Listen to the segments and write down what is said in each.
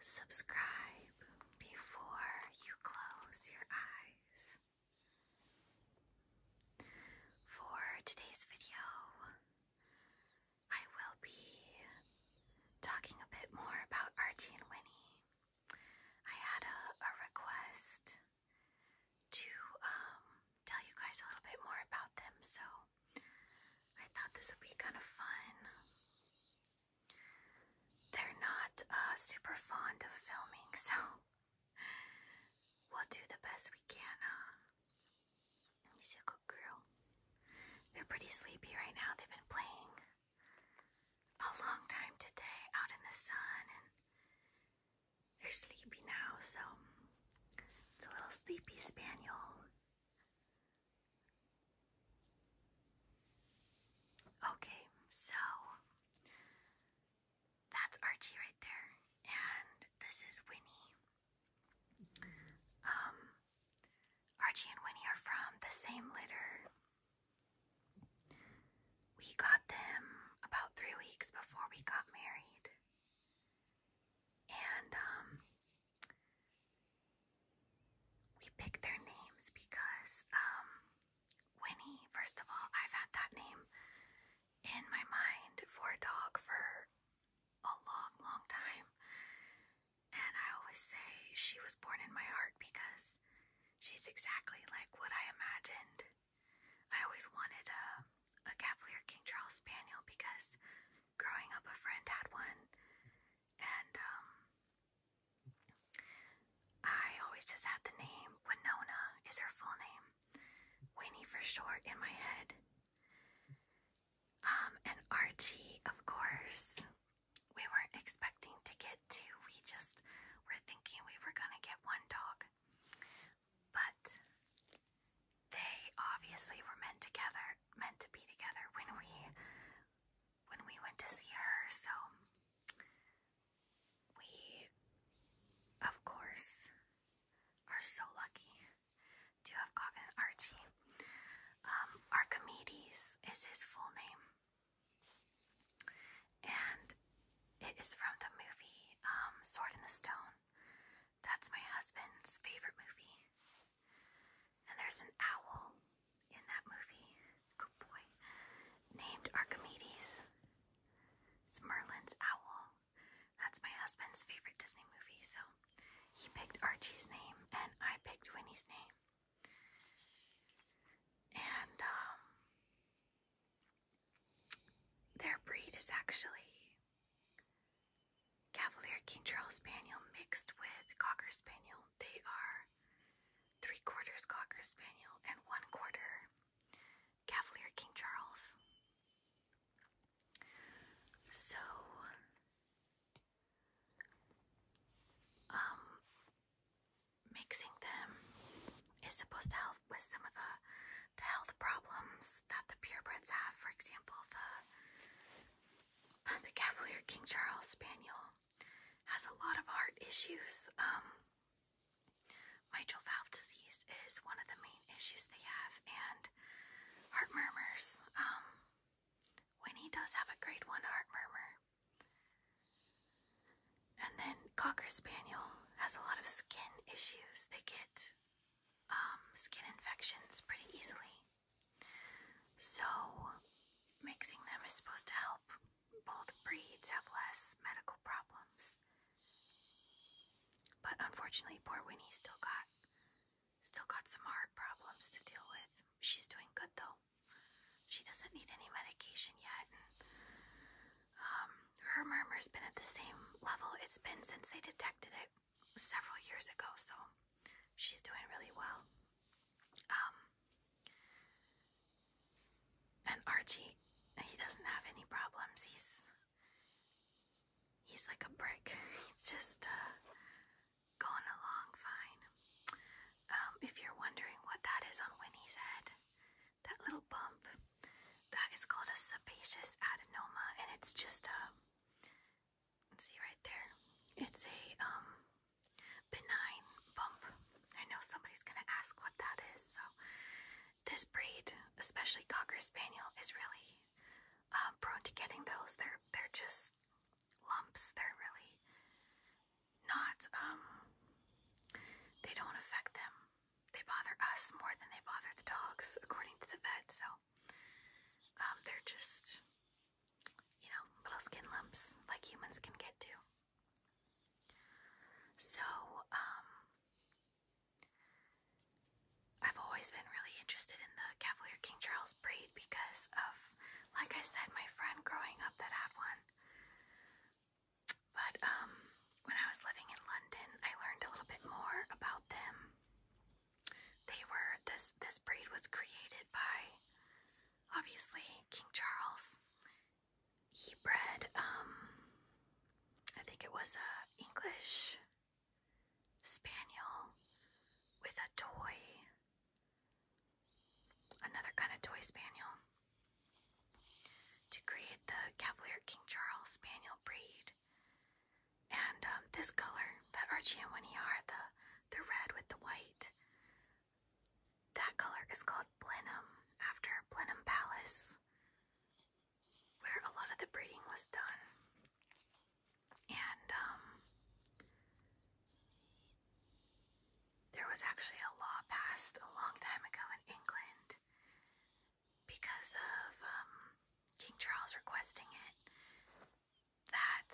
Subscribe before you close your eyes. For today's video, I will be talking a bit more about Archie and Winnie. I had a, request to um, tell you guys a little bit more about them, so I thought this would be kind of fun. They're not uh, super fond of filming, so we'll do the best we can. Uh, you see a good girl. They're pretty sleepy right now. They've been playing a long time today out in the sun, and they're sleepy now, so it's a little sleepy spaniel. Okay, so that's Archie right there, and this is Winnie. Um, Archie and Winnie are from the same litter. We got them about three weeks before we got married. And um, we picked their names because um, Winnie, first of all, I've had that name in my mind for a dog for a long, long time. And I always say she was born in my heart because she's exactly like what I imagined. I always wanted a, a Cavalier King Charles Spaniel because growing up a friend had one. And um, I always just had the name Winona is her full name. Winnie for short in my head. Um, and Archie, of course. We weren't expecting to get two. We just were thinking we were gonna get one dog. But they obviously were meant together, meant to be together when we when we went to see her, so we, of course, are so lucky to have gotten Archie. Um, Archimedes is his full name, and it is from the movie um, Sword in the Stone. That's my husband's favorite movie. And there's an owl in that movie. Good boy. Named Archimedes. It's Merlin's owl. That's my husband's favorite Disney movie, so he picked Archie's name and I picked Winnie's name. And um, their breed is actually Cavalier King Charles Spaniel mixed with Cocker Spaniel. They are three quarters Cocker Spaniel and one quarter Cavalier King Charles. So, um, mixing them is supposed to help with some of the, the health problems that the purebreds have. For example, the the Cavalier King Charles Spaniel has a lot of heart issues. Um, mitral valve disease is one of the main issues they have, and heart murmurs. Um, Winnie does have a grade one heart murmur. And then Cocker Spaniel has a lot of skin issues. They get um, skin infections pretty easily. So, mixing them is supposed to help both breeds have less medical problems. But unfortunately, poor Winnie still got still got some heart problems to deal with. She's doing good though. She doesn't need any medication yet. And, um, her murmur's been at the same level it's been since they detected it several years ago, so she's doing really well. Um, and Archie, he doesn't have any problems. He's he's like a brick. He's just uh, going along fine. Um, if you're wondering what that is on Winnie's head, that little bump, that is called a sebaceous adenoma, and it's just a um, See right there? It's a um benign bump. I know somebody's gonna ask what that is, so this breed, especially Cocker Spaniel, is really uh, prone to getting those. They're they're just lumps. They're really not um they don't affect them. They bother us more than they bother the dogs, according to the vet, so um, they're just you know, little skin lumps like humans can get to. So, um, I've always been really interested in the Cavalier King Charles breed because of, like I said, my friend growing up that had one. But um, when I was living in London, I learned a little bit more about them. They were this this breed was created by obviously King Charles. He bred, um, I think it was a English spaniel with a toy, another kind of toy spaniel, to create the Cavalier King Charles Spaniel breed. And um, this color that Archie and Winnie are, the the red with the white. That color is called Blenheim, after Blenheim Palace, where a lot of the breeding was done. And um, there was actually a law passed a long time ago in England because of um, King Charles requesting it that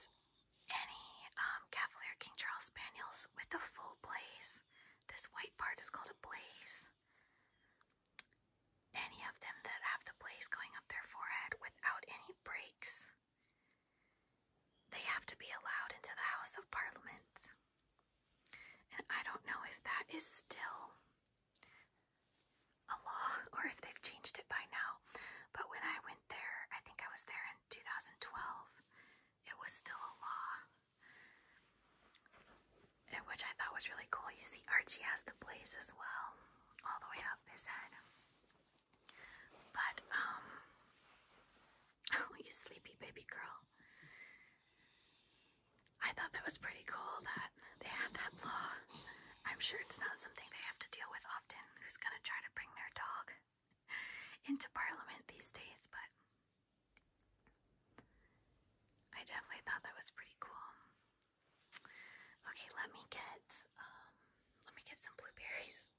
any um, Cavalier King Charles Spaniels with a full blaze, this white part is called a blaze. Any of them that have the blaze going up their forehead without any breaks, they have to be allowed into the House of Parliament. And I don't know if that is still a law or if they've changed it by now. But when I went there, I think I was there 2012, it was still a law, which I thought was really cool. You see, Archie has the blaze as well, all the way up his head. But, um, oh, you sleepy baby girl. I thought that was pretty cool that they had that law. I'm sure it's not something they have to deal with often. Who's gonna try to bring their dog? into Parliament these days, but I definitely thought that was pretty cool. Okay, let me get um, let me get some blueberries.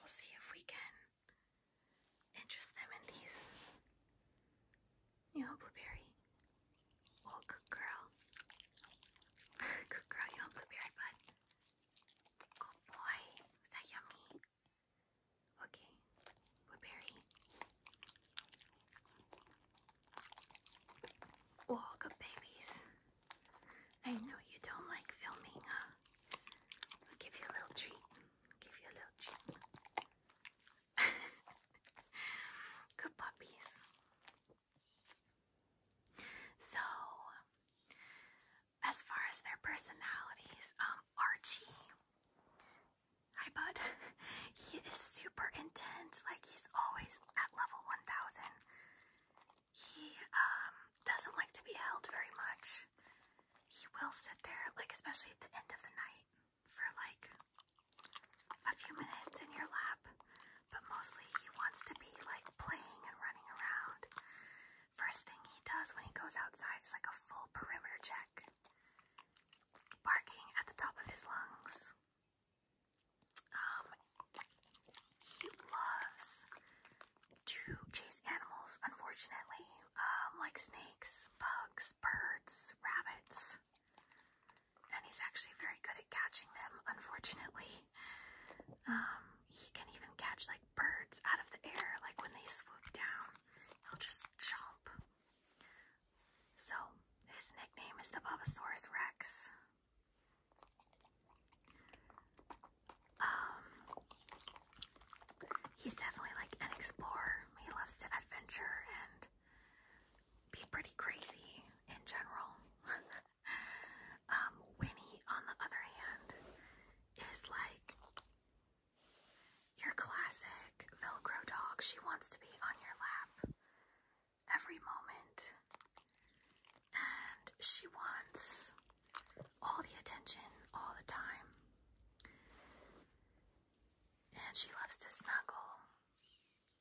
We'll see if we can interest them in these. You know, blueberry. Oh, good girl. good girl, you want blueberry bud? Oh boy. Is that yummy? Okay. Blueberry. Oh, good babies. I know you don't like filming, huh? I'll give you a little treat. give you a little treat. good puppies. So, as far as their personalities, um, Archie, hi bud, he is super intense, like he's always at level 1000. He um, doesn't like to be held very much. He will sit there, like especially at the end of the night, for like a few minutes in your lap, but mostly he wants to be like playing and running around. First thing he does when he goes outside is like a full perimeter check, barking at the top of his lungs. Um, he loves to chase animals, unfortunately, um, like snakes, bugs, birds, rabbits. And he's actually very good at catching them, unfortunately. Um, he can even catch like birds out of the air, like when they swoop down, he'll just jump. So his nickname is the Bobosaurus Rex. Um, he's definitely like an explorer. He loves to adventure and be pretty crazy in general. Um, Winnie, on the other hand, is like your classic Velcro dog. She wants to be on your lap every moment, and she wants all the attention all the time. And she loves to snuggle.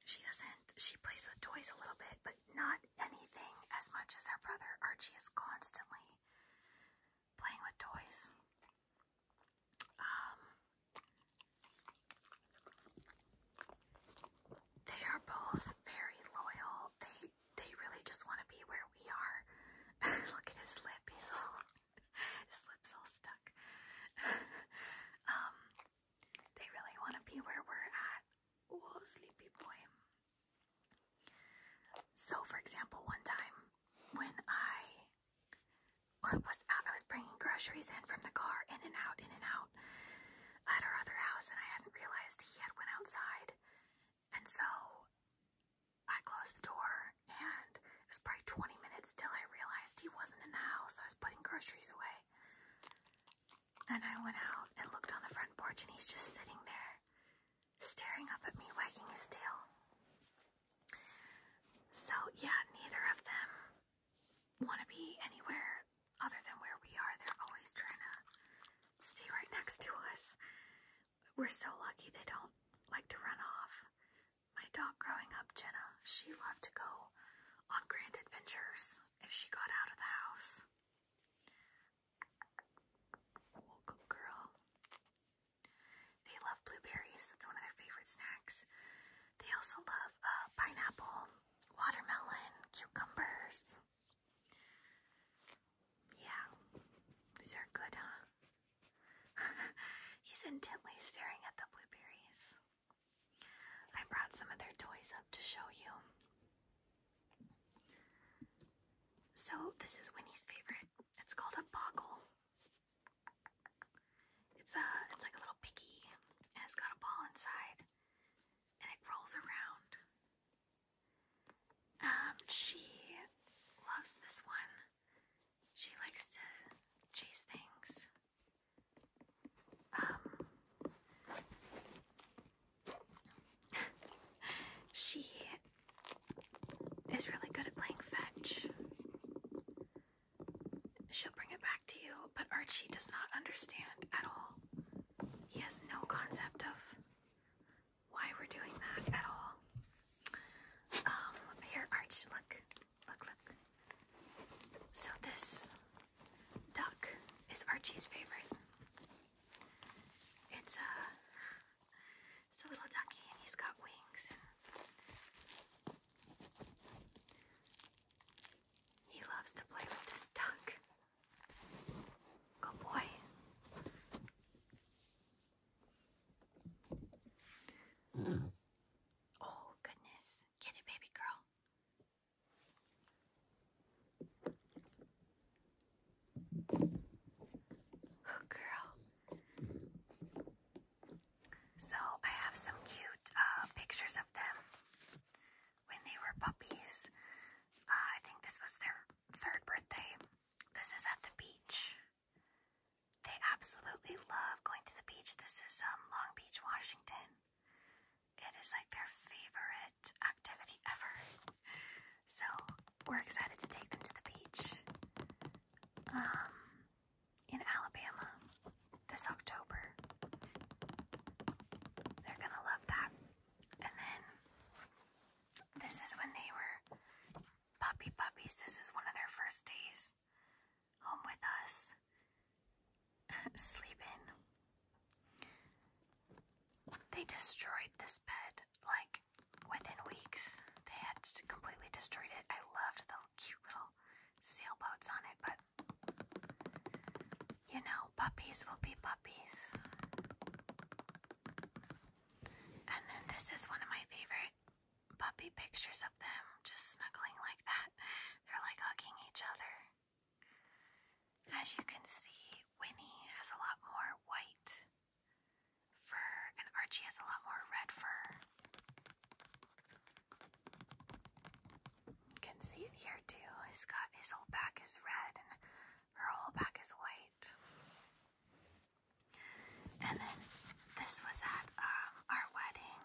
She doesn't, she plays with toys a little bit, but not anything as much as her brother. Archie is constantly playing with toys. Um, they are both very loyal. They they really just want to be where we are. Look at his lip. He's all his lips all stuck. Um, they really want to be where we're at. Oh, sleepy boy. So, for example, one time when I was out, I was bringing groceries in from the car, in and out, in and out, at our other house, and I hadn't realized he had went outside, and so I closed the door, and it was probably 20 minutes till I realized he wasn't in the house. I was putting groceries away, and I went out and looked on the front porch, and he's just sitting there, staring up at me, wagging his tail. So, yeah, neither of them want to be anywhere other than where we are. They're always trying to stay right next to us. We're so lucky they don't like to run off. My dog growing up, Jenna, she loved to go on grand adventures if she got out of the house. Well, girl. They love blueberries. That's one of their favorite snacks. They also love uh, pineapple, watermelon, cucumbers. Yeah, these are good, huh? He's intently staring at the blueberries. I brought some of their toys up to show you. So, this is Winnie's favorite. It's called a boggle. It's a, uh, it's like a little piggy, and it's got a ball inside, and it rolls around. Um, she loves this one. She likes to chase things. Um, she is really good at playing fetch. She'll bring it back to you, but Archie does not understand at all. He has no concept of why we're doing that at all. Um, here, Arch, look, look, look. So this duck is Archie's favorite. It's a, uh, it's a little ducky and he's got wings he loves to play with this duck. Good boy. Mm. Oh, goodness. Get it, baby girl. Good girl. So I have some cute uh, pictures of them when they were puppies. Uh, I think this was their third birthday. This is at the beach. They absolutely love going to the beach. This is um, Long Beach, Washington. It is like their favorite activity ever. So we're excited to take them to the beach um, in Alabama this October. They're gonna love that. And then this is when they were puppy puppies. This is one of their first days home with us. sleeping. They destroyed this bed like within weeks. They had completely destroyed it. I loved the cute little sailboats on it, but you know, puppies will be puppies. And then this is one of my favorite puppy pictures of them just snuggling like that. They're like hugging each other. As you can see, Winnie has a lot more white fur, and Archie has a lot more red fur. You can see it here too. He's got his whole back is red, and her whole back is white. And then this was at um, our wedding.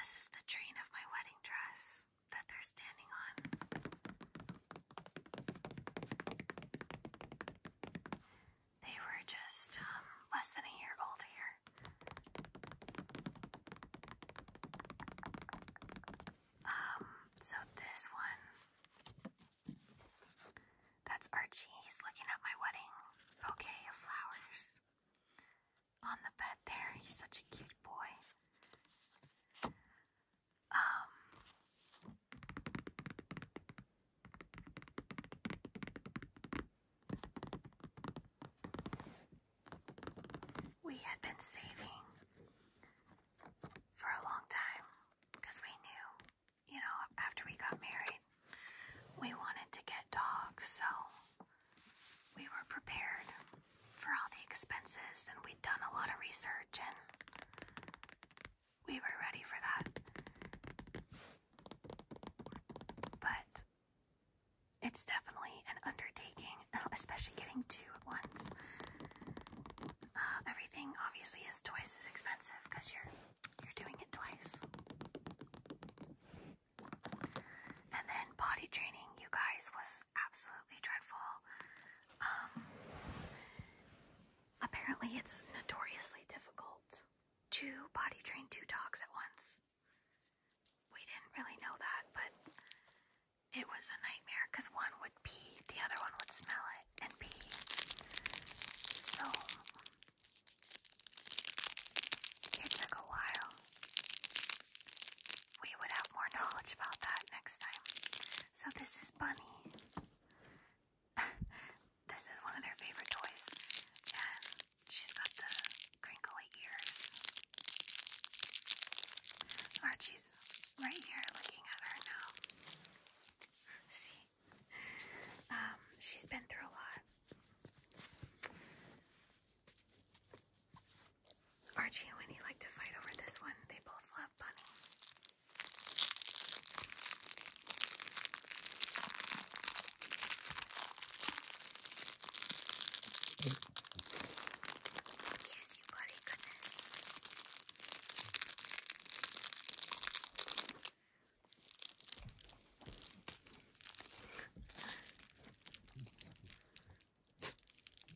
This is the train of my wedding dress that they're standing on. They were just um, less than a year old here. Um, so this one, that's Archie. He's looking at my wedding bouquet of flowers on the bed there. He's such a cute boy. Um, we had been saving for a long time because we knew, you know, after we got married, we wanted to get dogs, so we were prepared for all the expenses, and we'd done a lot of research, and we were ready for that. But it's definitely an undertaking, especially getting two at once. Uh, everything obviously is twice as expensive because you're you're doing it twice. And then body training, you guys, was absolutely dreadful. Um, apparently, it's notoriously difficult to potty train two dogs at once. We didn't really know that, but it was a nightmare because one would pee, the other one would smell it and pee. So it took a while we would have more knowledge about that next time. So this is Bunny. this is one of their favorite toys. And she's got the crinkly ears. Archie's right here looking at her now. See? Um, she's been through a lot. Archie and Winnie like to fight over this one. They both love Bunny. Here's you, buddy. Goodness.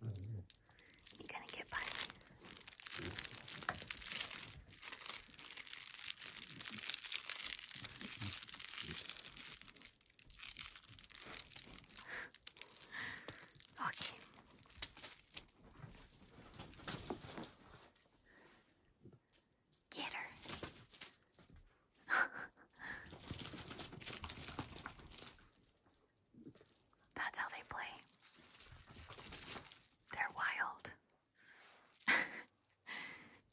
You're gonna get by me. okay. Get her. That's how they play. They're wild.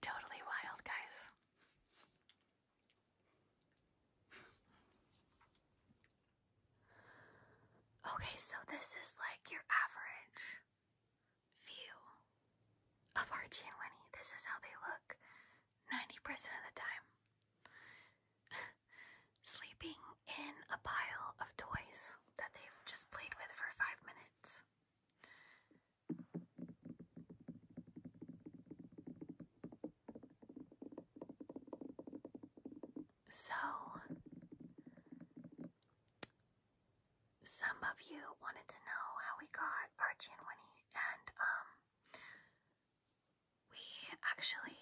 totally wild, guys. Okay, so this is like your average view of Archie and Winnie. This is how they look 90% of the time. sleeping in a pile of toys that they've just played with for five minutes. So, some of you wanted to know how we got Archie and Winnie and um, we actually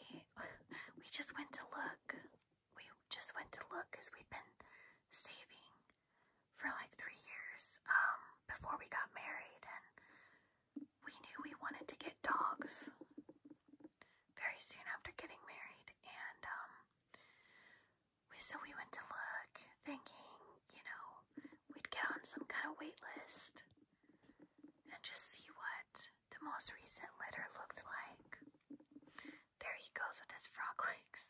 we just went to look. We just went to look because we'd been saving for like three years um, before we got married, and we knew we wanted to get dogs very soon after getting married, and um, so we went to look, thinking you know we'd get on some kind of wait list and just see what the most recent litter looked like. There he goes with his frog legs.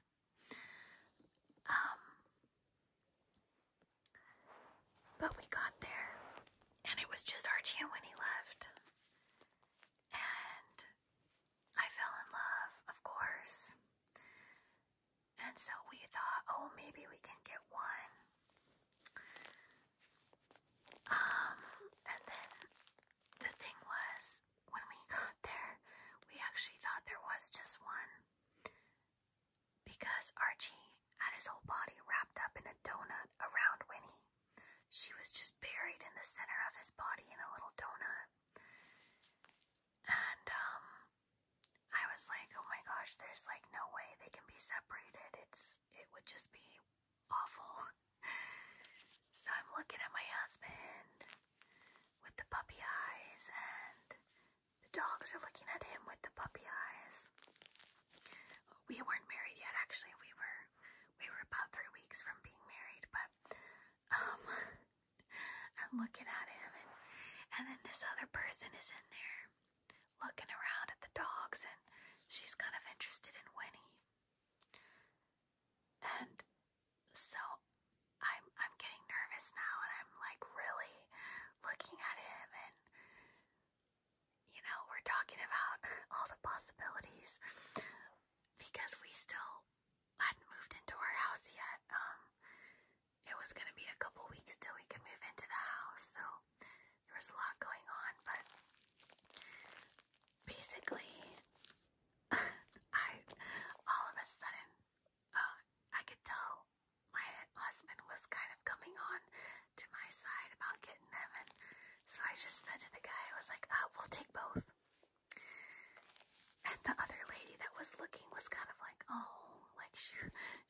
Um, but we got there, and it was just Archie and Winnie left. And I fell in love, of course. And so we thought, oh, maybe we can get one. Um, and then the thing was, when we got there, we actually thought there was just one because Archie had his whole body wrapped up in a donut around Winnie. She was just buried in the center of his body in a little donut. And, um, I was like, oh my gosh, there's like no way they can be separated. It's it would just be awful. so I'm looking at my husband with the puppy eyes, and the dogs are looking at him with the puppy eyes. We weren't married yet, actually. We were we were about three weeks from being married, but um, I'm looking at him, and then this other person is in there looking around at the dogs, and she's kind of interested in Winnie. And so I'm I'm getting nervous now, and I'm like really looking at him, and you know we're talking about all the possibilities because we still hadn't moved into our house yet. Um, it was gonna be a couple weeks till we could move into the house, so there was a lot going on, but basically, I all of a sudden uh, I could tell my husband was kind of coming on to my side about getting them, and so I just said to the guy, I was like, uh, "We'll take both." And the other lady that was looking was kind of like, "Oh, like she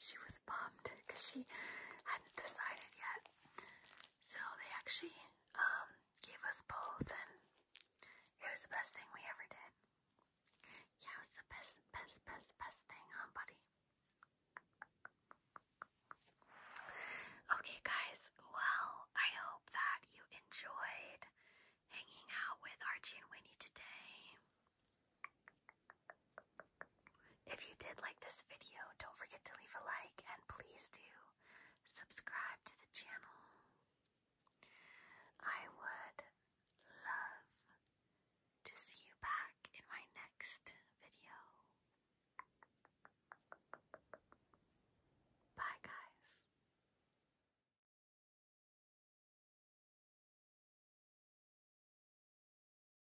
she was bummed because she hadn't decided yet." So they actually um, gave us both, and it was the best thing we ever did. Yeah, it was the best, best, best, best thing, huh, buddy? Okay, guys, well, I hope that you enjoyed hanging out with Archie and Winnie today. If you did like this video, don't forget to leave a like and please do subscribe to the channel. I would love to see you back in my next video. Bye, guys.